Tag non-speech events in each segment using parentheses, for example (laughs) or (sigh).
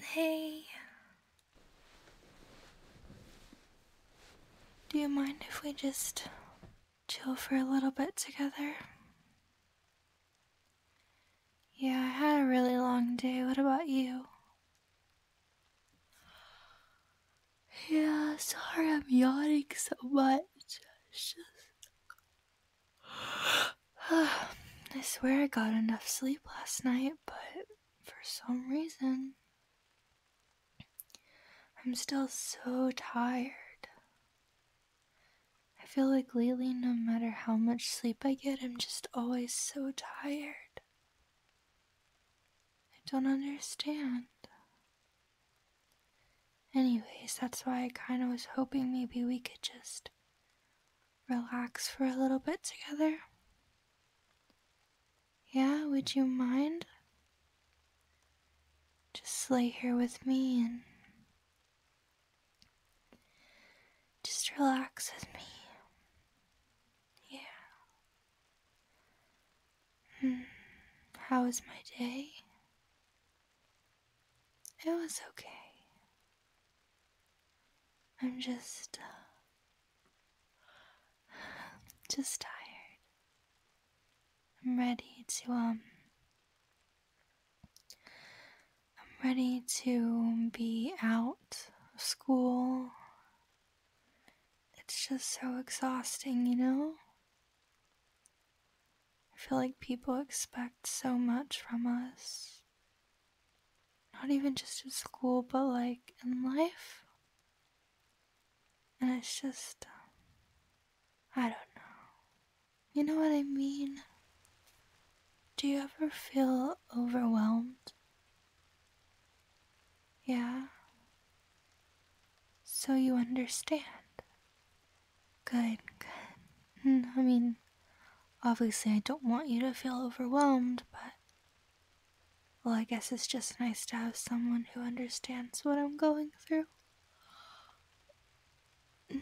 Hey. Do you mind if we just chill for a little bit together? Yeah, I had a really long day. What about you? Yeah, sorry I'm yawning so much. (sighs) I swear I got enough sleep last night, but for some reason, I'm still so tired. I feel like lately, no matter how much sleep I get, I'm just always so tired. I don't understand. Anyways, that's why I kind of was hoping maybe we could just relax for a little bit together. Yeah, would you mind? Just lay here with me and just relax with me. Yeah. Hmm. How was my day? It was okay. I'm just, uh, (sighs) just tired. I'm ready to, um, I'm ready to be out of school. It's just so exhausting, you know? I feel like people expect so much from us. Not even just at school, but like in life. And it's just, uh, I don't know. You know what I mean? Do you ever feel overwhelmed? Yeah. So you understand. Good, good. Mm, I mean, obviously, I don't want you to feel overwhelmed, but. Well, I guess it's just nice to have someone who understands what I'm going through. (sighs)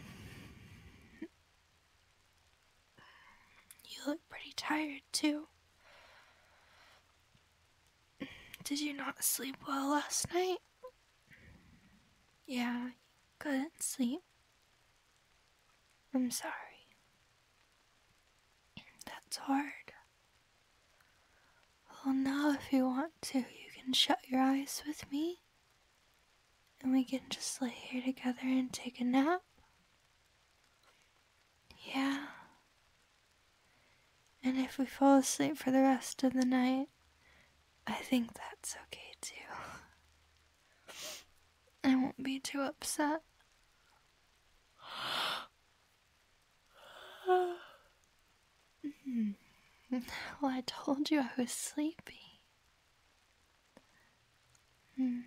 You look pretty tired, too. Did you not sleep well last night? Yeah, you couldn't sleep. I'm sorry. That's hard. Well, now if you want to, you can shut your eyes with me. And we can just lay here together and take a nap. Yeah. And if we fall asleep for the rest of the night, I think that's okay too. I won't be too upset. Hmm. Well, I told you I was sleepy. Hmm.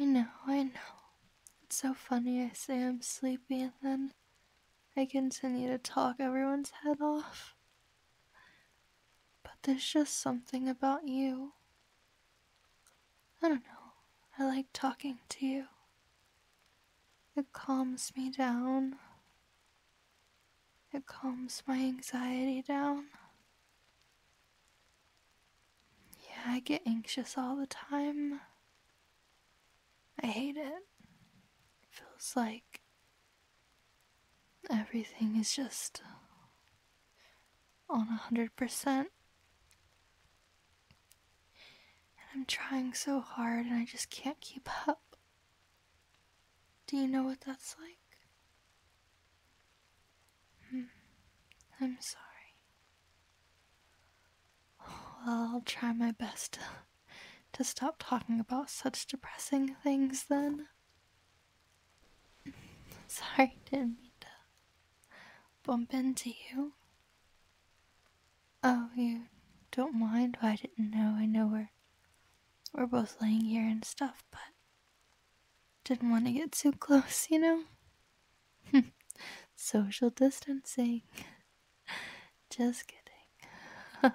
I know, I know. It's so funny I say I'm sleepy and then I continue to talk everyone's head off. But there's just something about you. I don't know. I like talking to you. It calms me down. It calms my anxiety down. Yeah, I get anxious all the time. I hate it. Feels like everything is just on a hundred percent. And I'm trying so hard and I just can't keep up. Do you know what that's like? Hmm. I'm sorry. I'll try my best to to stop talking about such depressing things then. (laughs) Sorry, didn't mean to bump into you. Oh, you don't mind? I didn't know. I know we're we're both laying here and stuff, but didn't want to get too close, you know? (laughs) Social distancing. (laughs) Just kidding.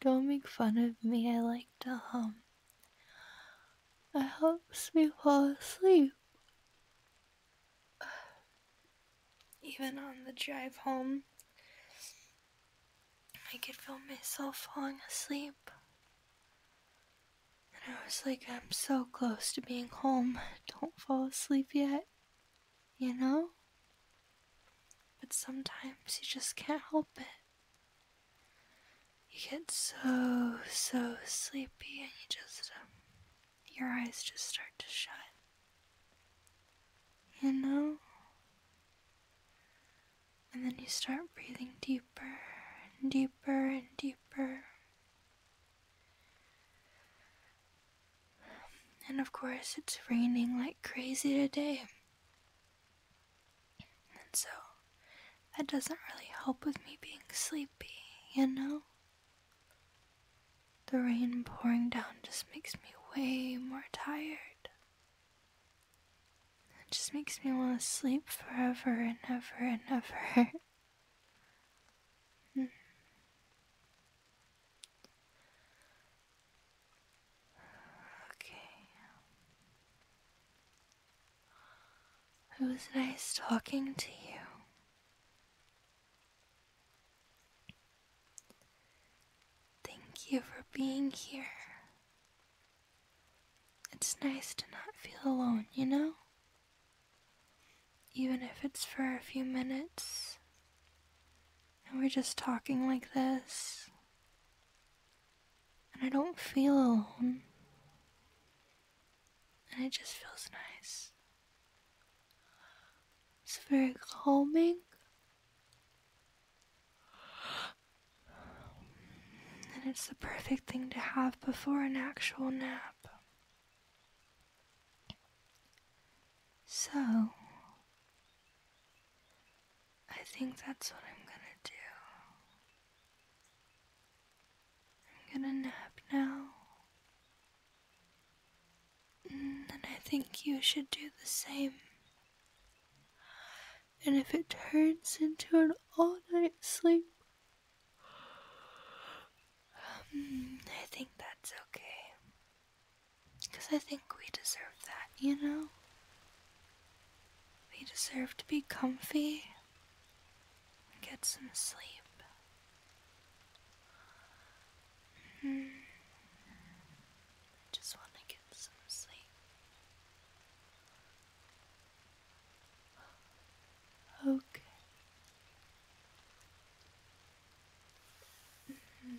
Don't make fun of me, I like to hum. It helps me fall asleep. (sighs) Even on the drive home, I could feel myself falling asleep. And I was like, I'm so close to being home. Don't fall asleep yet. You know? But sometimes you just can't help it. You get so, so sleepy and you just, um, your eyes just start to shut. You know? And then you start breathing deeper and deeper and deeper. And of course, it's raining like crazy today. And so, that doesn't really help with me being sleepy, you know? The rain pouring down just makes me way more tired. It just makes me want to sleep forever and ever and ever. Hmm. Okay. It was nice talking to you. Thank you for being here. It's nice to not feel alone, you know? Even if it's for a few minutes and we're just talking like this, and I don't feel alone, and it just feels nice. It's very calming. And it's the perfect thing to have before an actual nap. So, I think that's what I'm gonna do. I'm gonna nap now. And I think you should do the same. And if it turns into an all night sleep, um, I think that's okay. Because I think we deserve that, you know? We deserve to be comfy and get some sleep. I hmm. just want to get some sleep. Okay. -hmm.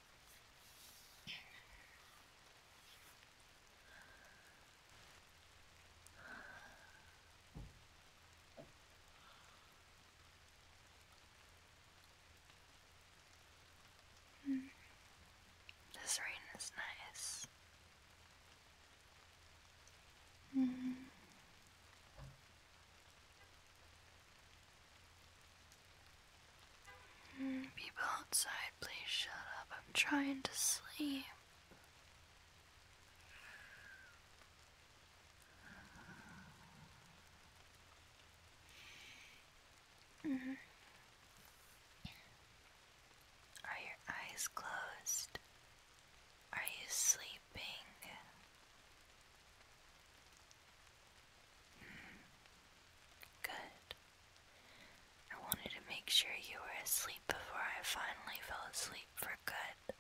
Mm. This rain is nice. Mm. Mm, people outside, please shut up. I'm trying to sleep. Mm-hmm. Are your eyes closed? Are you sleeping? Good. I wanted to make sure you were asleep before I finally fell asleep for good.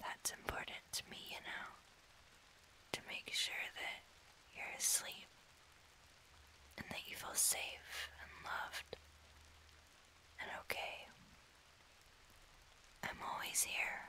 That's important to me, you know, to make sure that you're asleep and that you feel safe and loved and okay. I'm always here